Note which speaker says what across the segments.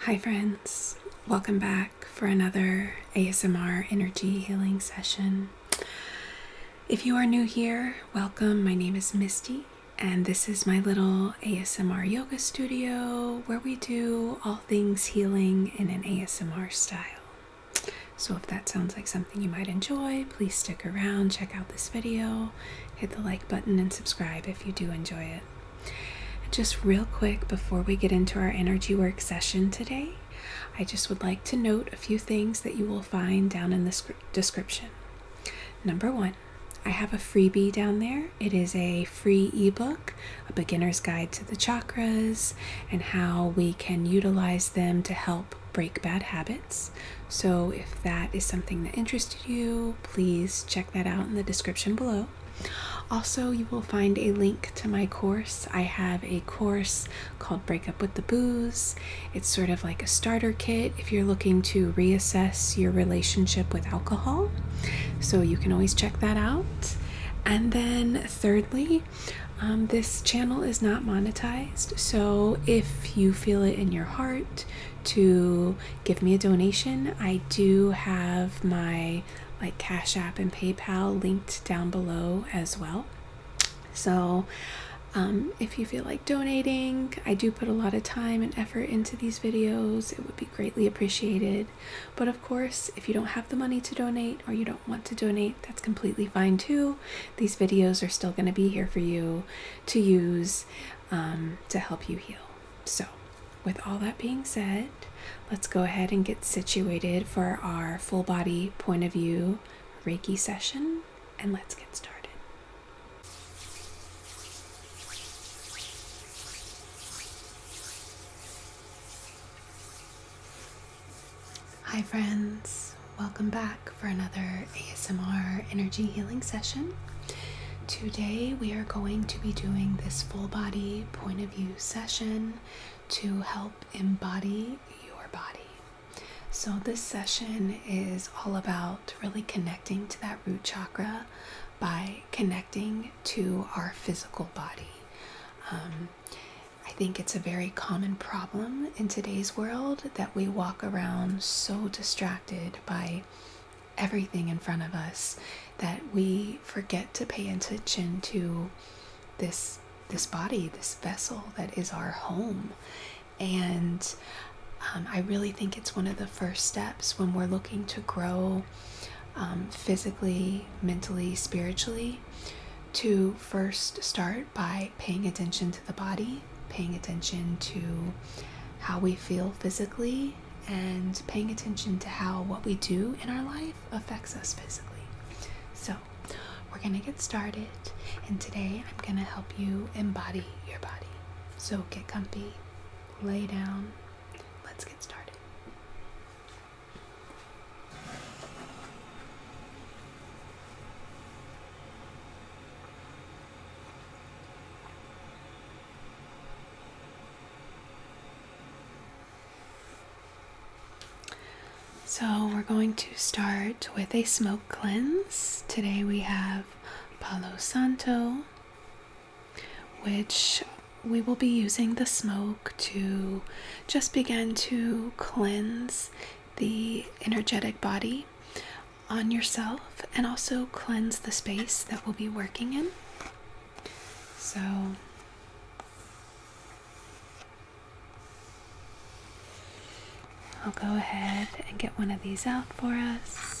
Speaker 1: Hi, friends. Welcome back for another ASMR energy healing session. If you are new here, welcome. My name is Misty, and this is my little ASMR yoga studio where we do all things healing in an ASMR style. So, if that sounds like something you might enjoy, please stick around, check out this video, hit the like button, and subscribe if you do enjoy it. Just real quick before we get into our energy work session today, I just would like to note a few things that you will find down in the description. Number one, I have a freebie down there. It is a free ebook, a beginner's guide to the chakras, and how we can utilize them to help break bad habits. So, if that is something that interested you, please check that out in the description below. Also, you will find a link to my course. I have a course called Breakup with the Booze. It's sort of like a starter kit if you're looking to reassess your relationship with alcohol. So, you can always check that out. And then, thirdly, um, this channel is not monetized. So, if you feel it in your heart to give me a donation. I do have my like Cash App and PayPal linked down below as well. So um, if you feel like donating, I do put a lot of time and effort into these videos. It would be greatly appreciated. But of course, if you don't have the money to donate or you don't want to donate, that's completely fine too. These videos are still going to be here for you to use um, to help you heal. So, with all that being said, let's go ahead and get situated for our full body point of view Reiki session and let's get started. Hi, friends welcome back for another ASMR energy healing session. Today, we are going to be doing this full body point of view session to help embody your body. So, this session is all about really connecting to that root chakra by connecting to our physical body. Um, I think it's a very common problem in today's world that we walk around so distracted by everything in front of us that we forget to pay attention to this this body this vessel that is our home and um, i really think it's one of the first steps when we're looking to grow um, physically mentally spiritually to first start by Paying attention to the body, paying attention to how we feel physically, and paying attention to how what we do in our life affects us physically. So, we're going to get started, and today I'm going to help you embody your body. So, get comfy, lay down, let's get started. So, we're going to start with a smoke cleanse. Today we have Palo Santo, which we will be using the smoke to just begin to cleanse the energetic body on yourself and also cleanse the space that we'll be working in. So, I'll go ahead and get one of these out for us.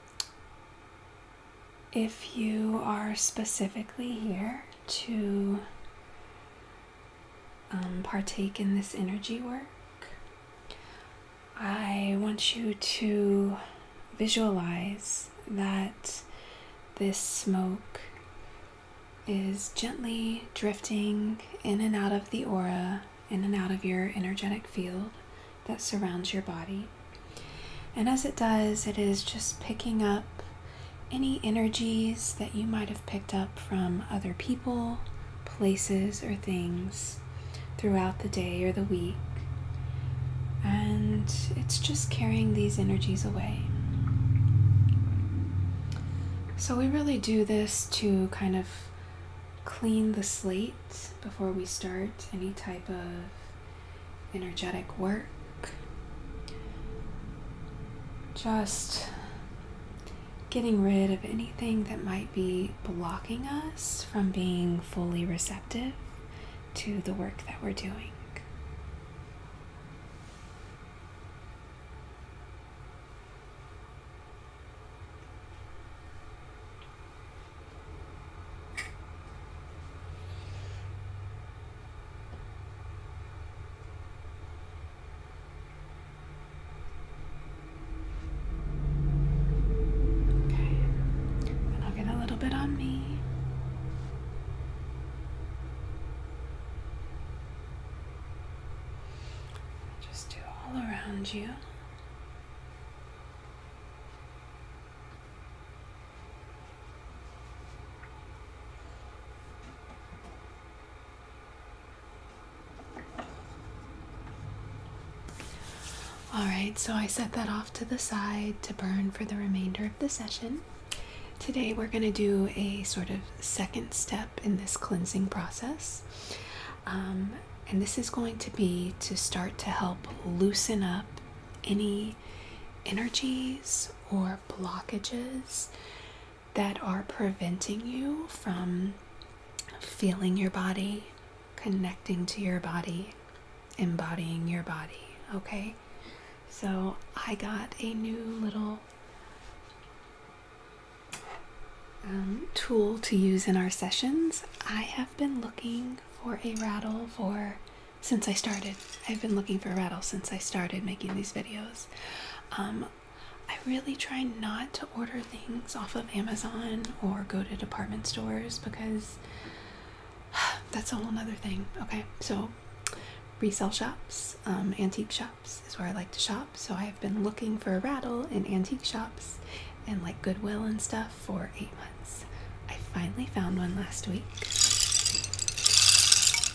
Speaker 1: if you are specifically here to um, partake in this energy work, I want you to visualize that this smoke is gently drifting in and out of the aura, in and out of your energetic field, that surrounds your body. And as it does, it is just picking up any energies that you might have picked up from other people, places, or things throughout the day or the week. And it's just carrying these energies away. So we really do this to kind of clean the slate before we start any type of energetic work. Just getting rid of anything that might be blocking us from being fully receptive to the work that we're doing. Okay, and I'll get a little bit on me. Just do all around you. All right, so I set that off to the side to burn for the remainder of the session. Today we're going to do a sort of second step in this cleansing process. Um, and this is going to be to start to help loosen up any energies or blockages that are preventing you from feeling your body, connecting to your body, embodying your body. Okay? So I got a new little um, tool to use in our sessions. I have been looking for a rattle for since I started. I've been looking for a rattle since I started making these videos. Um, I really try not to order things off of Amazon or go to department stores because that's a whole nother thing. Okay, so resale shops, um, antique shops is where I like to shop. So I've been looking for a rattle in antique shops and like Goodwill and stuff for eight months. I finally found one last week.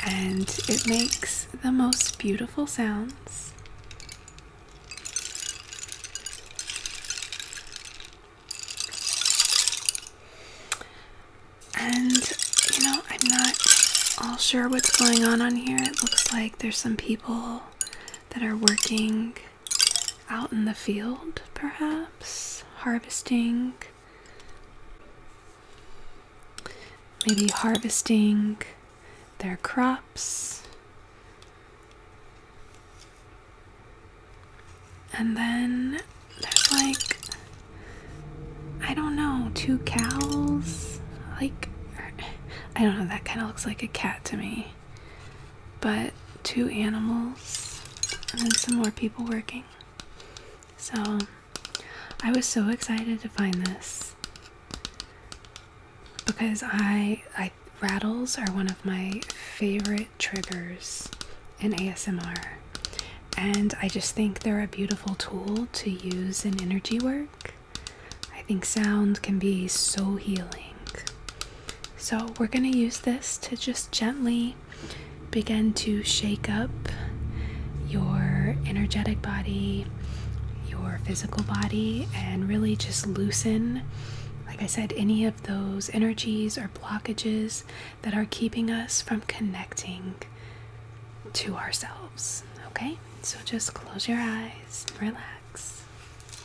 Speaker 1: And it makes the most beautiful sounds. And you know, I'm not all sure what's going on on here. It looks like there's some people that are working out in the field, perhaps, harvesting. Maybe harvesting their crops. And then there's like, I don't know, two cows? Like, I don't know, that kind of looks like a cat to me but two animals and then some more people working. So I was so excited to find this because I I rattles are one of my favorite triggers in ASMR. And I just think they're a beautiful tool to use in energy work. I think sound can be so healing. So, we're going to use this to just gently begin to shake up your energetic body, your physical body, and really just loosen, like I said, any of those energies or blockages that are keeping us from connecting to ourselves. Okay? So, just close your eyes, relax.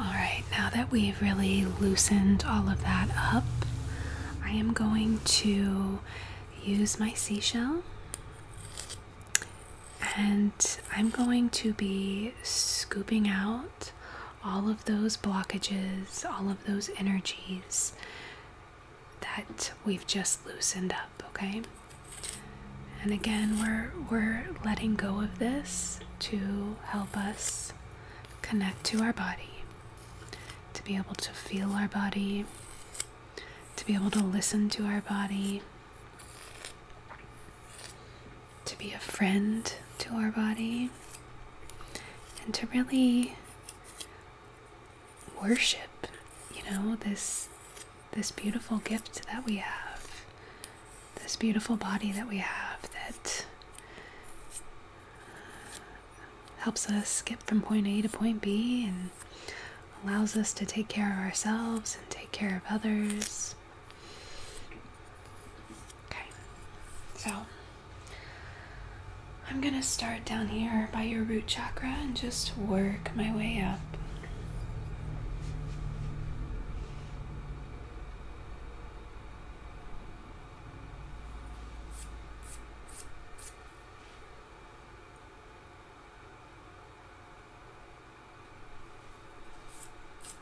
Speaker 1: All right, now that we've really loosened all of that up, I am going to use my seashell and I'm going to be scooping out all of those blockages, all of those energies that we've just loosened up, okay? And again, we're we're letting go of this to help us connect to our body, to be able to feel our body, to be able to listen to our body to be a friend to our body and to really worship you know this this beautiful gift that we have this beautiful body that we have that helps us get from point A to point B and allows us to take care of ourselves and take care of others Okay, so I'm gonna start down here by your root chakra and just work my way up.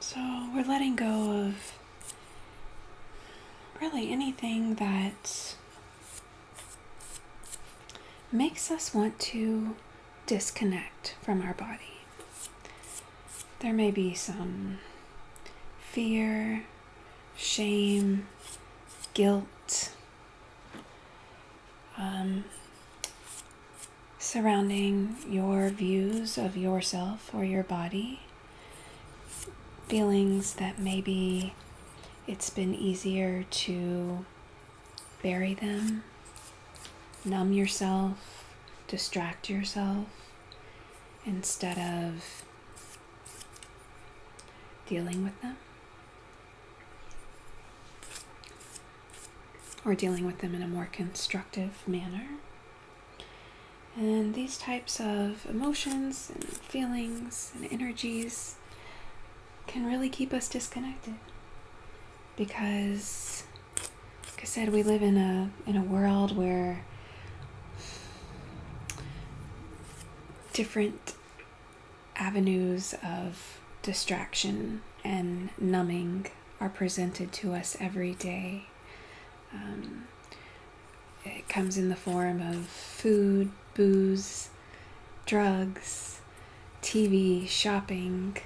Speaker 1: So we're letting go of really anything that makes us want to disconnect from our body there may be some fear, shame, guilt um, surrounding your views of yourself or your body, feelings that maybe it's been easier to bury them, numb yourself, distract yourself instead of dealing with them or dealing with them in a more constructive manner. And these types of emotions and feelings and energies can really keep us disconnected because like I said we live in a in a world where different avenues of distraction and numbing are presented to us every day. Um, it comes in the form of food, booze, drugs, TV, shopping.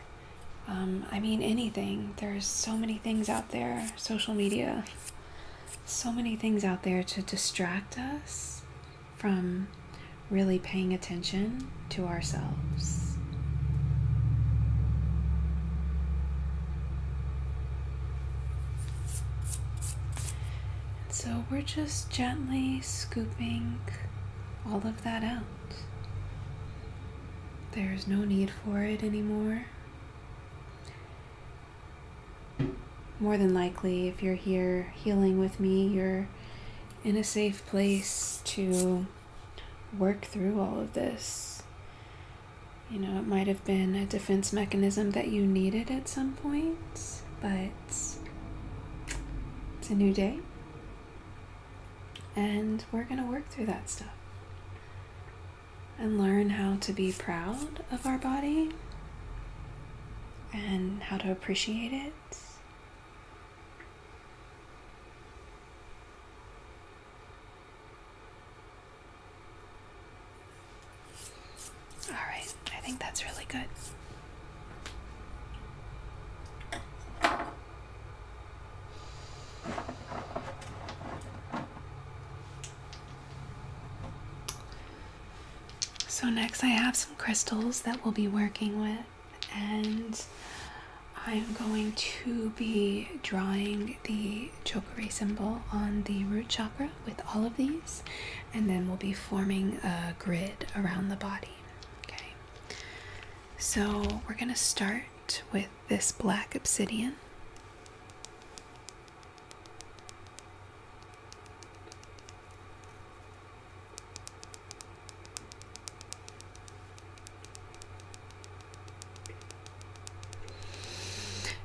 Speaker 1: Um, I mean, anything. There's so many things out there, social media so many things out there to distract us from really paying attention to ourselves. And so we're just gently scooping all of that out. There's no need for it anymore. More than likely, if you're here healing with me, you're in a safe place to work through all of this. You know, it might have been a defense mechanism that you needed at some point, but it's a new day. And we're going to work through that stuff and learn how to be proud of our body and how to appreciate it. All right, I think that's really good. So next I have some crystals that we'll be working with and I'm going to be drawing the chakra symbol on the root chakra with all of these and then we'll be forming a grid around the body. Okay. So we're going to start with this black obsidian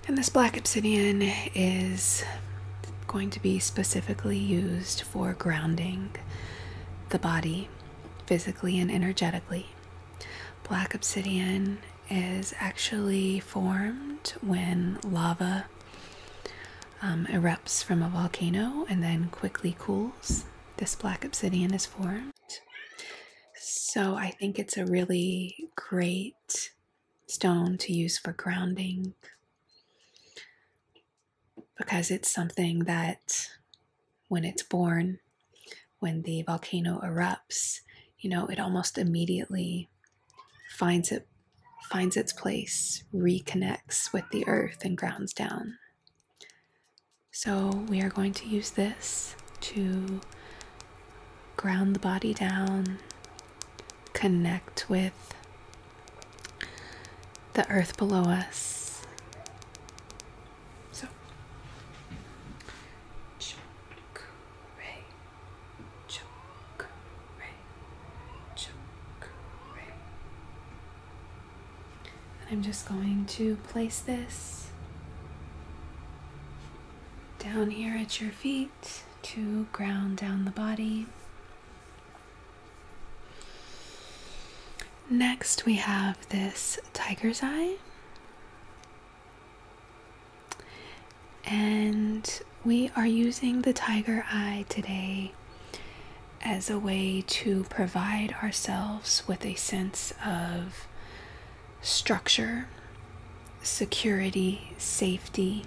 Speaker 1: and this black obsidian is going to be specifically used for grounding the body physically and energetically. Black obsidian is actually formed when lava um, erupts from a volcano and then quickly cools. This black obsidian is formed. So I think it's a really great stone to use for grounding because it's something that when it's born when the volcano erupts, you know, it almost immediately finds it finds its place, reconnects with the earth and grounds down. So we are going to use this to ground the body down, connect with the earth below us. So, Choke ray, choke ray. And I'm just going to place this down here at your feet to ground down the body. Next, we have this tiger's eye. And we are using the tiger eye today as a way to provide ourselves with a sense of structure, security, safety.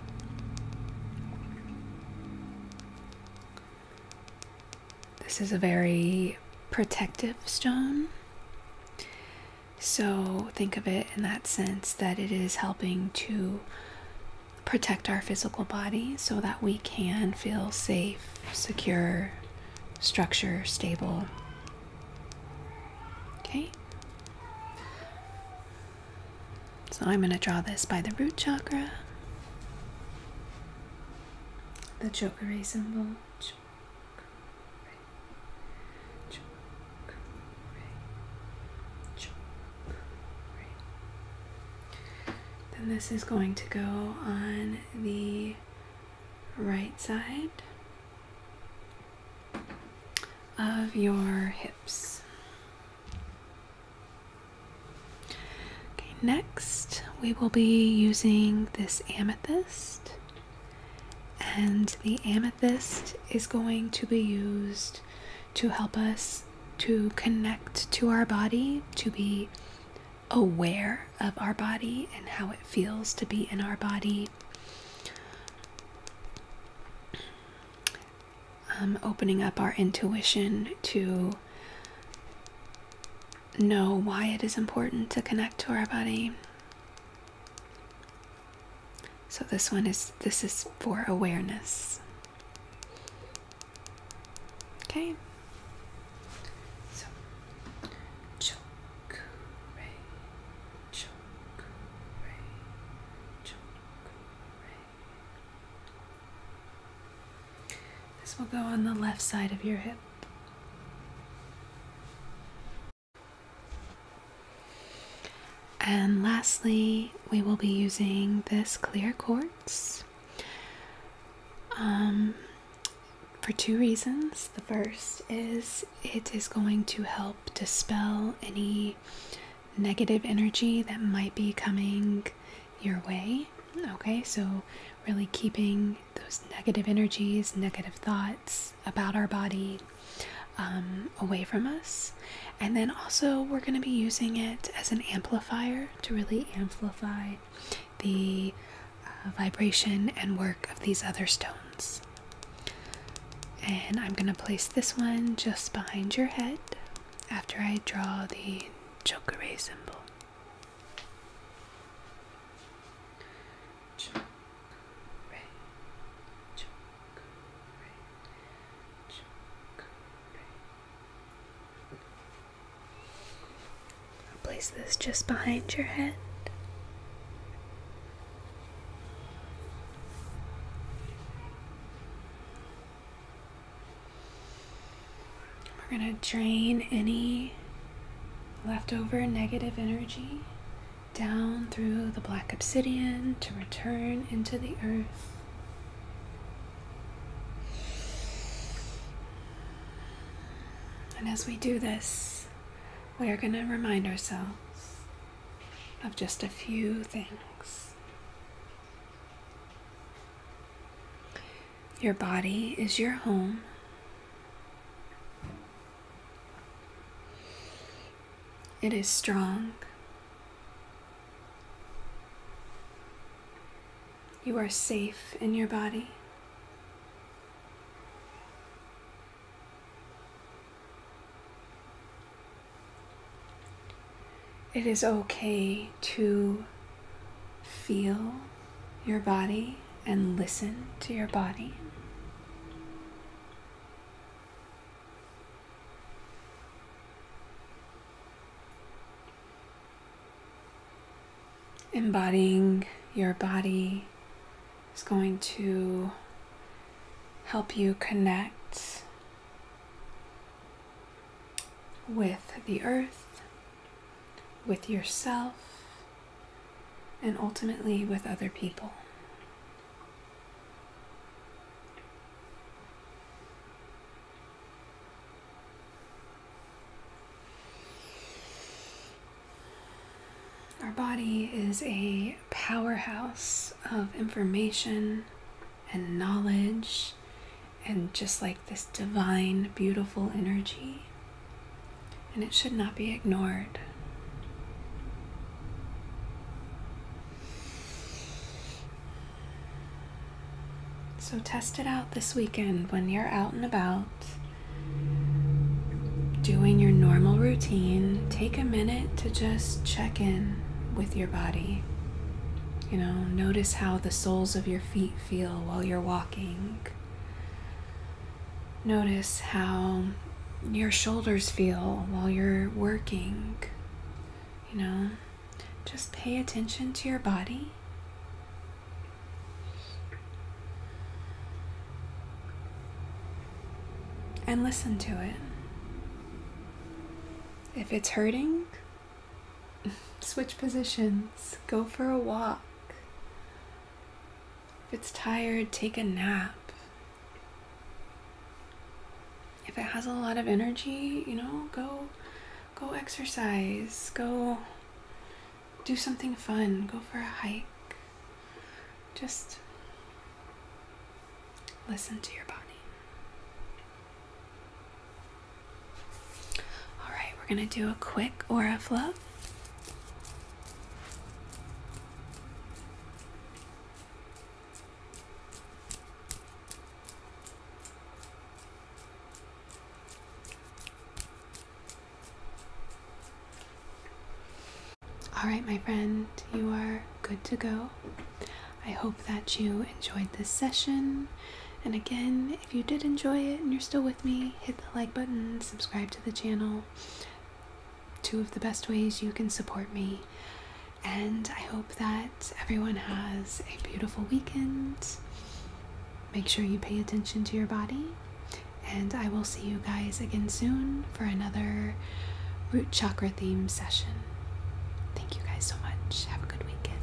Speaker 1: This is a very protective stone. So think of it in that sense that it is helping to protect our physical body so that we can feel safe, secure, structure, stable. Okay? So I'm going to draw this by the root chakra, the chakra symbol. Then this is going to go on the right side of your hips. Okay, next we will be using this amethyst and the amethyst is going to be used to help us to connect to our body, to be aware of our body and how it feels to be in our body. Um, opening up our intuition to know why it is important to connect to our body. So this one is this is for awareness. Okay. This will go on the left side of your hip. And lastly, we will be using this clear quartz um, for two reasons. The first is it is going to help dispel any negative energy that might be coming your way. Okay, so really keeping those negative energies, negative thoughts about our body um, away from us. And then also, we're going to be using it as an amplifier to really amplify the uh, vibration and work of these other stones. And I'm going to place this one just behind your head after I draw the chakra symbol. I'll place this just behind your head. We're going to drain any leftover negative energy down through the black obsidian to return into the earth. And as we do this, we are going to remind ourselves of just a few things. Your body is your home. It is strong. You are safe in your body. It is okay to feel your body and listen to your body. Embodying your body is going to help you connect with the earth, with yourself, and ultimately with other people. Our body is a powerhouse of information and knowledge, and just like this divine, beautiful energy. And it should not be ignored. So test it out this weekend when you're out and about doing your normal routine. Take a minute to just check in with your body. You know, notice how the soles of your feet feel while you're walking. Notice how your shoulders feel while you're working. You know, just pay attention to your body. And listen to it. If it's hurting, switch positions, go for a walk. If it's tired, take a nap if it has a lot of energy, you know, go go exercise, go do something fun, go for a hike. Just listen to your body. All right, we're going to do a quick aura flow. All right, my friend, you are good to go. I hope that you enjoyed this session. And again, if you did enjoy it and you're still with me, hit the like button, subscribe to the channel two of the best ways you can support me. And I hope that everyone has a beautiful weekend. Make sure you pay attention to your body. And I will see you guys again soon for another root chakra theme session. Thank you guys so much. Have a good weekend.